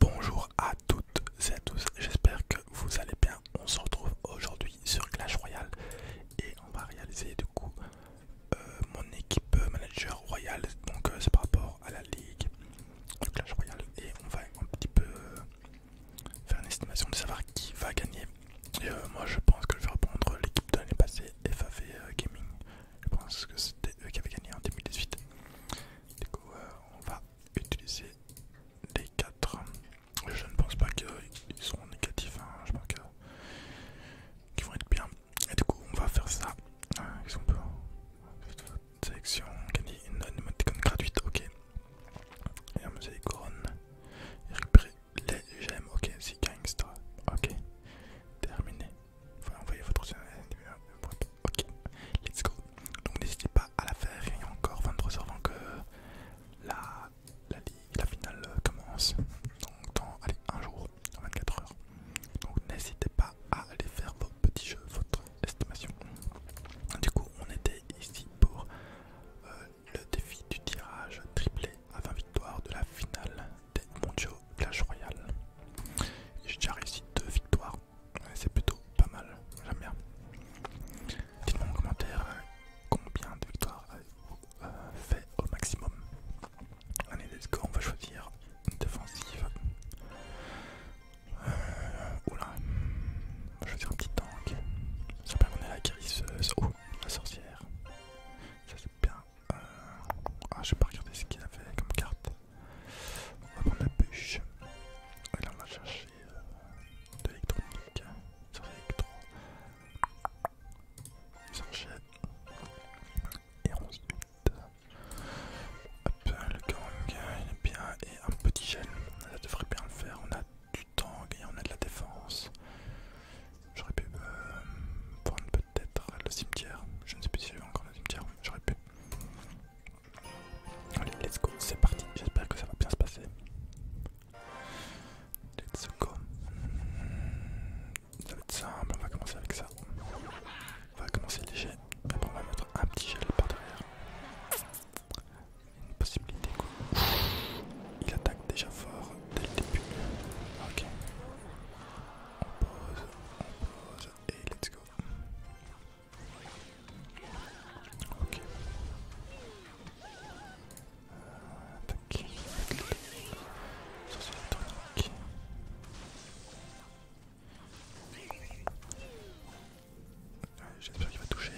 Bonjour à toutes et à tous, j'espère que vous allez bien. On se retrouve aujourd'hui sur Clash Royale et on va réaliser du coup euh, mon équipe manager royale. Donc euh, c'est par rapport à la ligue de Clash Royale et on va un petit peu euh, faire une estimation de savoir qui va gagner. moi je pense que je vais reprendre l'équipe de l'année passée, FAV Gaming. Je pense que c'était eux qui avaient gagné en 2018. Du coup, euh, on va utiliser les 4. Je ne pense pas qu'ils seront négatifs, hein. je pense qu'ils vont être bien. Et du coup, on va faire ça. Euh, peut exemple, sélection, gagner une animaticone gratuite, ok. Et on utiliser les couronnes. Et récupérer les gemmes, ok. C'est gangster, ok. Terminé. Enfin, envoyer votre euh, Ok, let's go. Donc n'hésitez pas à la faire. Il y a encore 23 heures avant que la, finale euh, commence. Donc dans un jour, dans 24 heures. Donc n'hésitez pas à aller faire vos petits jeux, votre estimation. Du coup, on était ici pour euh, le défi du tirage triplé à 20 victoires de la finale des Clash Royale. J'ai déjà réussi deux victoires, c'est plutôt pas mal, j'aime bien. Dites-moi en commentaire euh, combien de victoires avez-vous euh, fait au maximum. Allez, go, on va choisir une défensive. Euh, on va choisir un petit tank. J'espère qu'on est la guérisseuse. Oh, la sorcière. Ça c'est bien, ah Ah, j'ai pas regardé ce qu'il avait comme carte. On va prendre la bûche. Et là, on va chercher euh, de l'électronique. Sur l'électro. Et 11 Hop, le gang, est bien. Et un petit gel. Ça devrait bien le faire. On a du temps et on a de la défense. J'aurais pu un euh, prendre peut-être le cimetière. Je ne sais plus si j'ai encore le cimetière, j'aurais pu. Allez, let's go, c'est parti. J'espère que ça va bien se passer. Let's go. Ça va être simple, on va commencer avec ça. On va commencer léger. Après, on va mettre un petit gel par derrière. Une possibilité quoi. Il attaque déjà fort dès le début. Ok. Pause, pause. et let's go. Ok. Attaque. J'espère qu'il va toucher.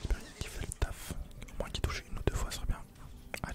J'espère qu'il fait le taf. Au moins qu'il touche une ou deux fois, serait bien.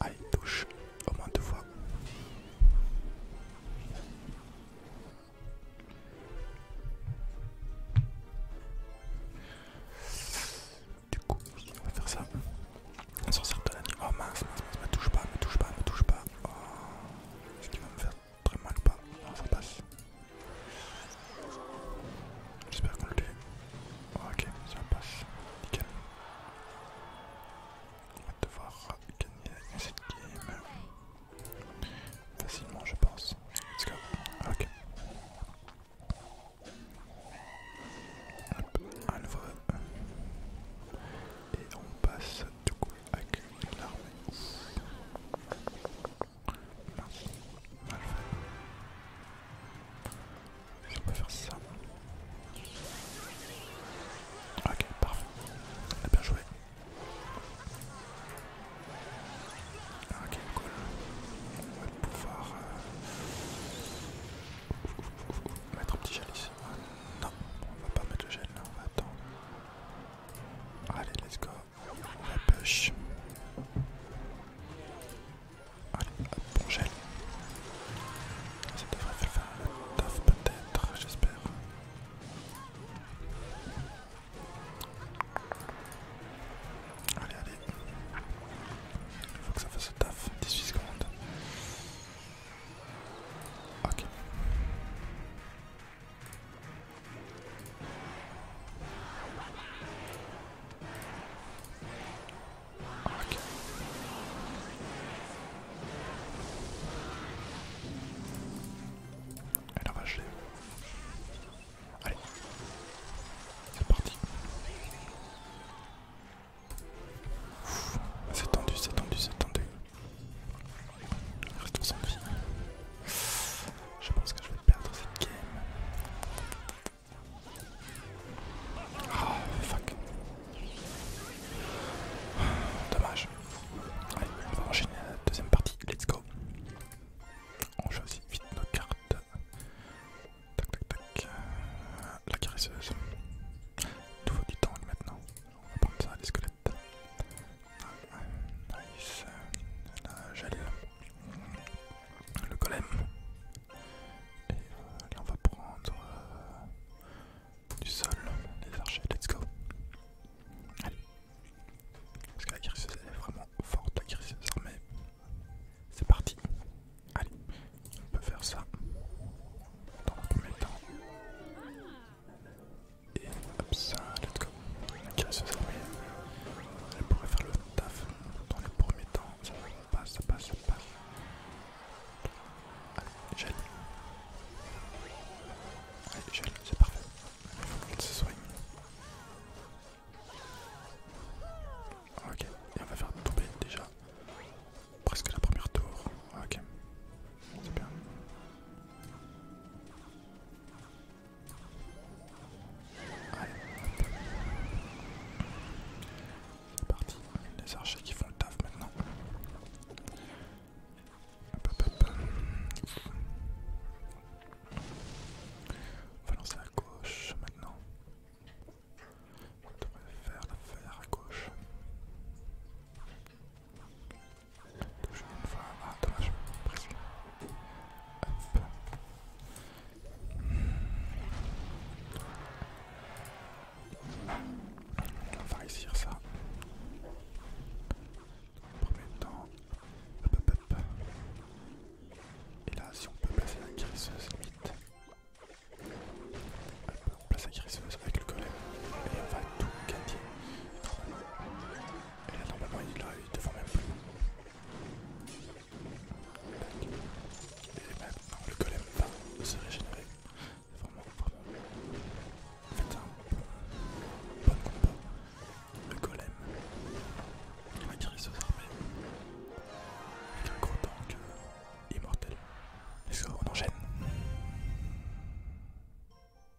Allez, touche au moins deux fois. Du coup, on va faire ça. On s'en sort de la nuit. Oh mince, mince, mince, me touche pas, ne me touche pas, ne me touche pas. Oh, ce qui va me faire très mal ou pas Non, ça passe. J'espère qu'on le tue. Ah, ok, ça passe, nickel. On va devoir gagner cette game facilement, je pense. Let's go. Ah, ok. Hop, le nouveau. Et on passe du coup avec l'armée. Je faire ça. Ok, parfait. On eh a bien joué. Ok, cool. On va pouvoir euh, mettre un petit gel ici. Non, on va pas mettre le gel là, on va attendre. Allez, let's go. On la push. Allez, hop, on Ça devrait faire un taf peut-être, j'espère. Allez, allez. Il faut que ça fasse le taf, 18 secondes. Ok. Elle a racheté. Allez, c'est parti. C'est tendu, c'est tendu, c'est tendu. reste sans je pense que je vais perdre cette game. Ah, fuck. Dommage. Allez, on va enchaîner la deuxième partie. Let's go. On choisit vite nos cartes. Tac, tac, tac. La caresseuse. Tout vaut du temps maintenant. On va prendre ça, les squelettes. Nice. La gel, Le golem. Et euh, là on va prendre euh, du sol. Les archers, let's go. Allez. Parce que la crise est vraiment forte, la crise armée, C'est parti. Allez, on peut faire ça. Dans le premier temps et hop ça, let's go. Ok, ça c'est Elle pourrait faire le taf dans les premiers temps. Ça passe, ça passe, ça passe. Allez, gel. Allez, gel, c'est parfait. Il faut qu'elle se soigne. Ok, et on va faire tomber déjà presque la première tour. Ok, c'est c'est parti. Les archers qui font le taf maintenant. On va lancer à gauche maintenant. On devrait faire l'affaire à gauche. Je vais me fois. Ah, dommage, presque. Hop. On va réussir ça. Premier temps. Hop, hop, hop. Et là, si on peut placer la guérisseuse, limite. Hop, on place la guérisseuse avec le golem et on va tout gagner. Et là normalement il eu eu devant même plus. Et maintenant le golem va se régénérer. C'est vraiment vraiment en fait un bon, combat. Le golem il va tirer ses armée avec un gros tank euh, immortel. Est-ce on enchaîne la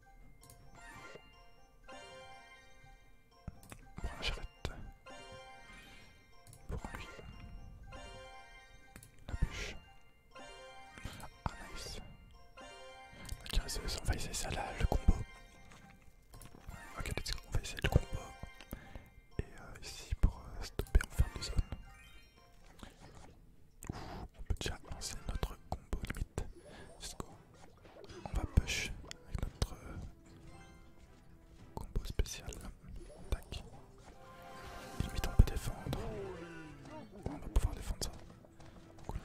j'arrête. Pour lui. La bûche. Ah, nice. on va essayer ça là, le combo. Ok, let's go, on va essayer le combo. Et euh, ici, pour euh, stopper, on fin de zone on peut déjà lancer notre combo limite. Let's go. On va push avec notre euh, combo spécial. Tac. limite on peut défendre. on va pouvoir défendre ça. Cool.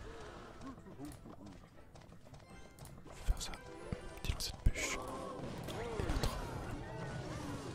On va faire ça. Petit cette de push. Euh,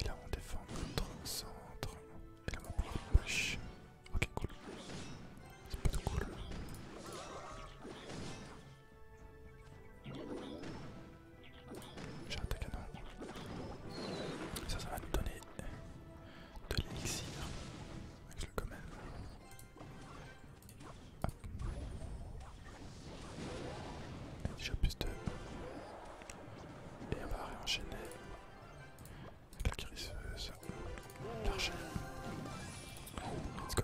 Et là on défend notre centre. Et là on va pouvoir push. Ok cool. C'est plutôt cool. J'ai un Et Ça ça va nous donner de l'élixir. Avec le même. Hop. Déjà plus Et on va réenchaîner. Avec la L'archer. Let's go.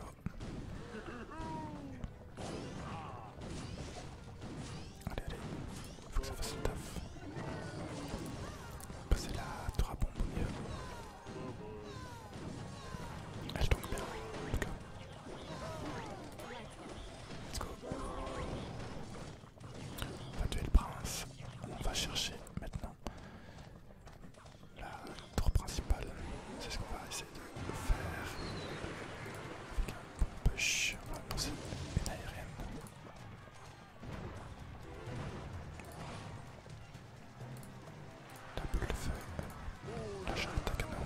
Allez, allez. Faut que ça fasse le taf. Passer la drapon au Elle tombe bien. Let's go. On va tuer le prince. On va chercher maintenant la tour principale. C'est ce qu'on va essayer de faire. Avec un bon push la boule le feu, la charrette à canon.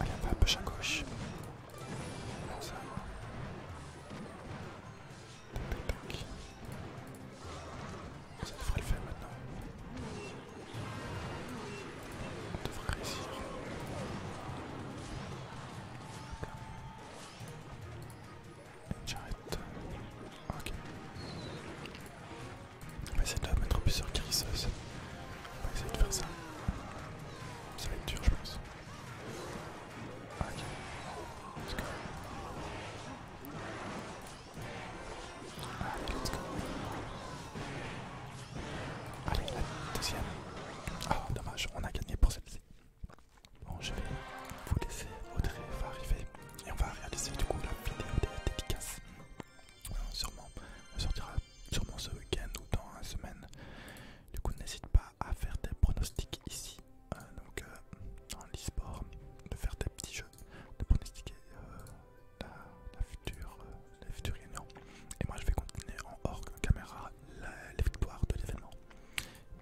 Allez, on va un peu à gauche. Non, ça Tac, tac, tac. Ça devrait le faire maintenant. On devrait réussir. Hop là. J'arrête. Ok. On va essayer de mettre plus sur Chris. On va essayer de faire ça. Ça va être dur, je pense. Ok. Let's go. Allez, let's go. Allez, la deuxième. Ah, dommage, on a gagné pour cette. ci Bon, je vais vous laisser. Audrey va arriver et on va réaliser du coup la vidéo des euh, Sûrement, on sortira sûrement ce week-end ou dans la semaine. Du coup, n'hésite pas à faire des pronostics ici, euh, donc euh, dans l'e-sport, de faire des petits jeux, de pronostiquer la, future, Et moi, je vais continuer en hors caméra les victoires de l'événement.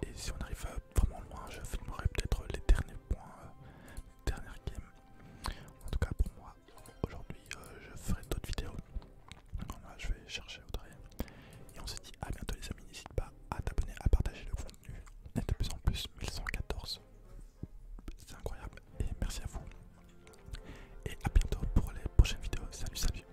Et si on arrive vraiment loin, je filmerai peut-être les derniers points, euh, les dernières games. En tout cas pour moi, aujourd'hui euh, je ferai d'autres vidéos. je vais chercher Audrey. Et on se dit à bientôt les amis, n'hésite pas à t'abonner, à partager le contenu. On est de plus en plus, 1114. C'est incroyable. Et merci à vous. Et à bientôt pour les prochaines vidéos. Salut, salut.